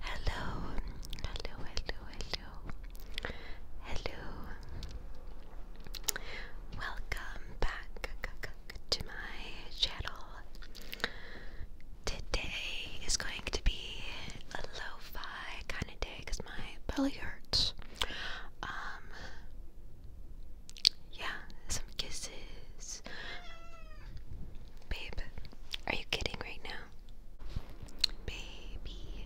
Hello, hello, hello, hello, hello. Welcome back to my channel. Today is going to be a lo kind of day because my belly hurts. Um, yeah, some kisses. Babe, are you kidding right now? Baby.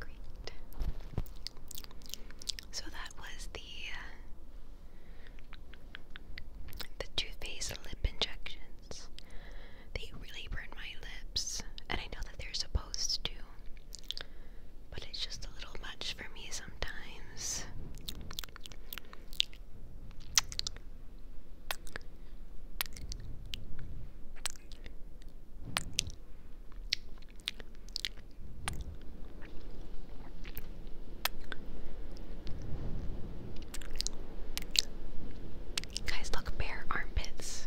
Great. So that was the uh, the toothpaste lip injection. They really burn my lips, and I know that they're supposed to, but it's just a little much for me sometimes. Guys, look, bare armpits.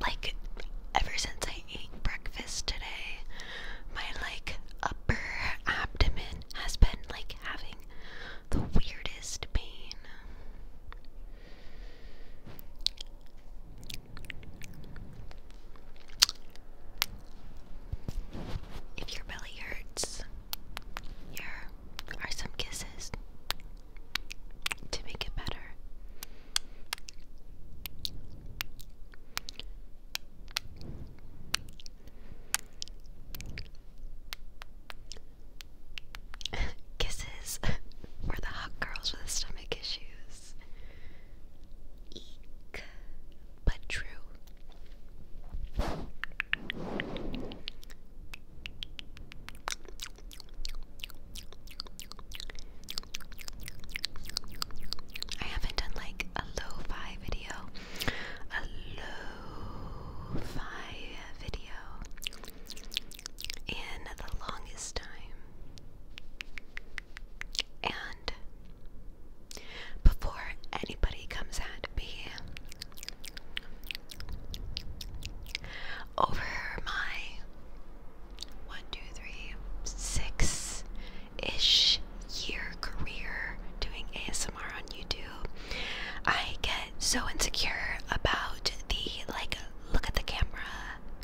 Like, ever since I ate breakfast today, my like upper abdomen has been like having the weirdest pain. If your belly hurts, here are some kisses to make it better. Kisses for the hot girls with stomach issues. Eek, but true. I haven't done like a lo-fi video. A lo-fi video in the longest time. And before anybody comes at me over my one, two, three, six ish year career doing ASMR on YouTube, I get so insecure about the like look at the camera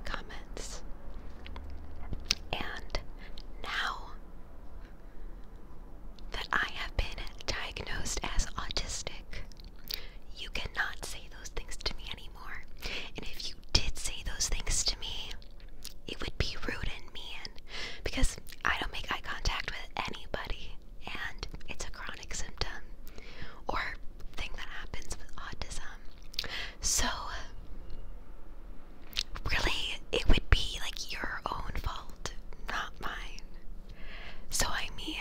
comments. And now that I have been diagnosed as autistic. You cannot say those things to me anymore. And if you did say those things to me, it would be rude and mean because I don't make eye contact with anybody, and it's a chronic symptom or thing that happens with autism. So, really, it would be like your own fault, not mine. So, I mean,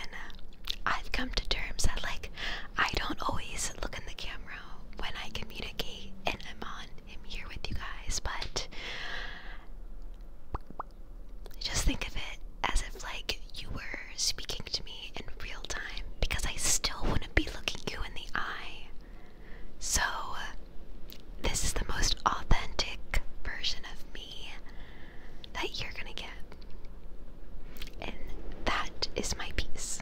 I've come to terms that, like, I don't always look in the camera when I communicate and I'm on, I'm here with you guys, but just think of it as if, like, you were speaking to me in real time because I still wouldn't be looking you in the eye. So, this is the most authentic version of me that you're gonna get. And that is my piece.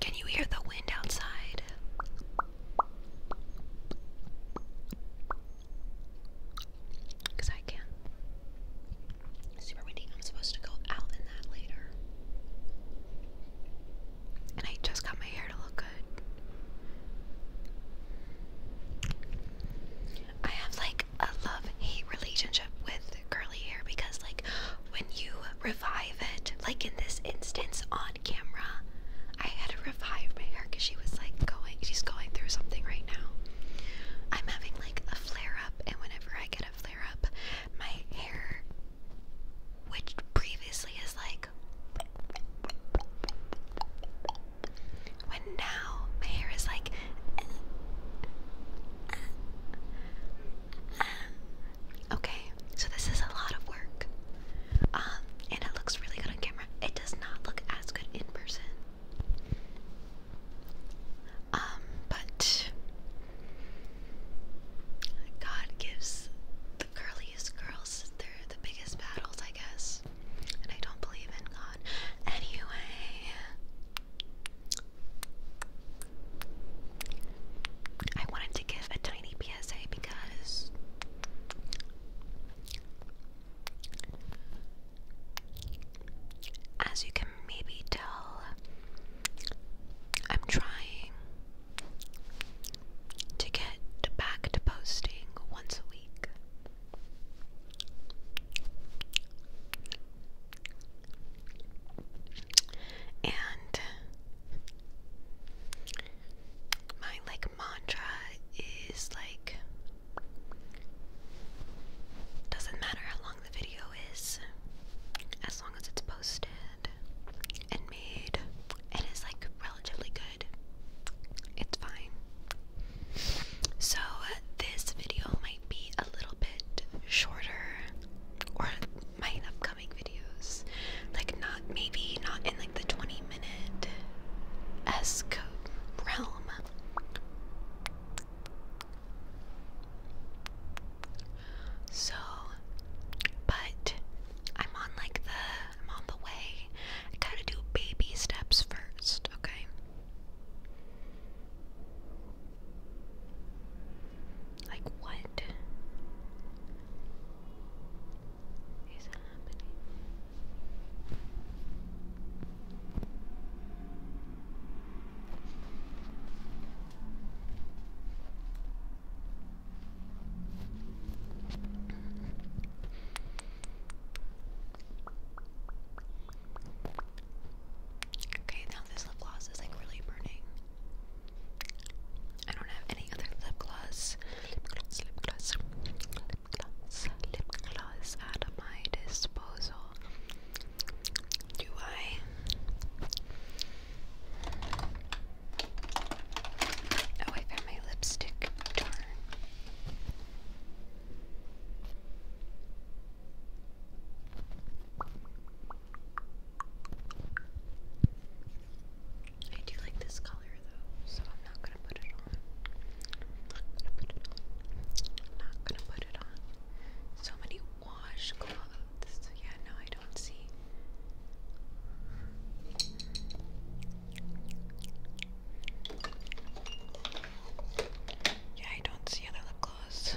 Can you hear the wind outside? Because I can. Super windy. I'm supposed to go out in that later. And I just got my hair to look good. I have like a love hate relationship with curly hair because, like, when you revive it, like in this instance on camera, I had to revive my hair because she was like going, she's going through something right now. I'm having like a flare up, and whenever I get a flare up, my hair which previously is like when now my hair is like okay so this is a lot of work um and it looks really good on camera it does not look as good in person um, but God gives the curliest girls they're the biggest battles, I guess. And I don't believe in God. Anyway, I wanted to give a tiny PSA because as you can maybe tell, I'm trying to get back to posting once a week. And my like mantra is like doesn't matter how long the video is, as long as it's posted and made and like relatively good, it's fine. So, this video might be a little bit shorter, or my upcoming videos, like not maybe not in like the 20 minute esque realm. So, but I'm on like the, I'm on the way. I gotta do baby steps first, okay? Like what is happening? Okay, now this lip gloss is like really burning. I don't have any other lip gloss. Lip gloss, lip gloss, lip gloss, lip gloss at my disposal do I? Oh, I found my lipstick. I do like this color though, so I'm Not gonna put it on. Not gonna put it on. So many washcloths. Yeah, no, I don't see. Yeah, I don't see other lip gloss.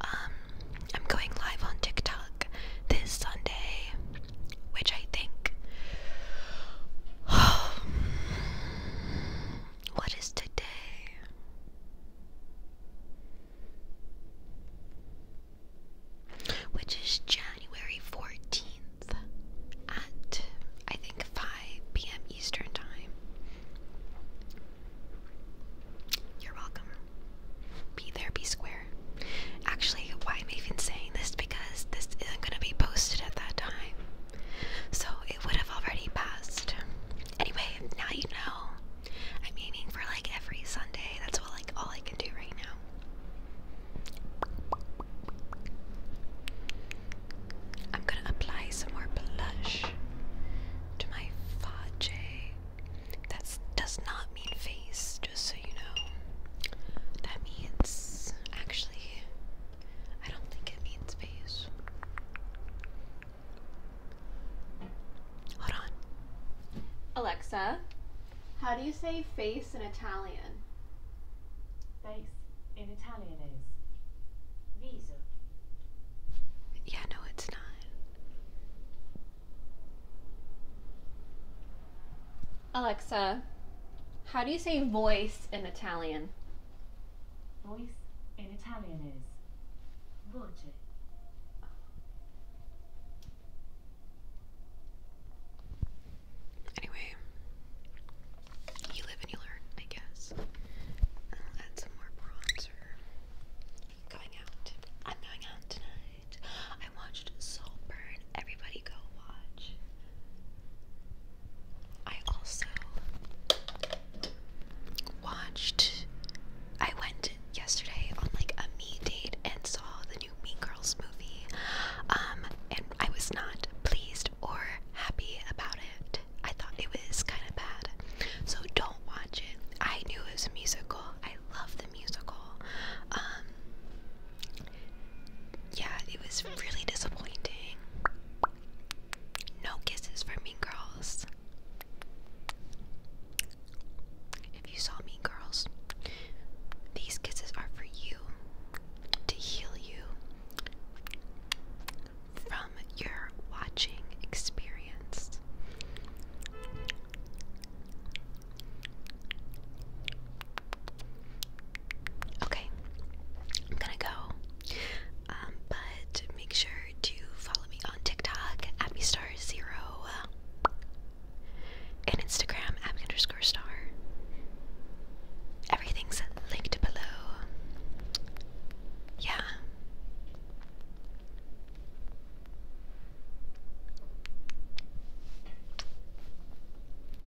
Um, I'm going live on TikTok this Sunday, which I think. What is today? Which is January 14th at I think 5 p.m. Eastern Time. You're welcome. Be there, be square. Actually, why am I even saying this? Because this isn't going to be posted at that time. So it would have already passed. Anyway, now you know. I'm aiming for like every Sunday. That's what like all I can do right now. I'm gonna apply some more blush to my fudge. That does not mean face, just so you know. That means actually I don't think it means base. Hold on. Alexa, how do you say face in Italian? Face in Italian is viso. Yeah, no, it's not. Alexa, how do you say voice in Italian? Voice in Italian is voce. Anyway, you live and you learn, I guess. add some more bronzer. Going out. I'm going out tonight. I watched Saltburn. Everybody go watch. I also watched. I went yesterday on like a me date and saw the new Mean Girls movie. Um, and I was not pleased or happy about it. I thought it was kind of bad. So don't watch it. I knew it was a musical. I love the musical. Um, yeah, it was really disappointing. No kisses for Mean Girls. If you saw Mean Girls, these kisses are for you to heal you from your watching experience. Okay, I'm gonna go. Um, but make sure to follow me on TikTok, AppyStar0, and Instagram, Abby underscore star. Everything's linked below. Yeah.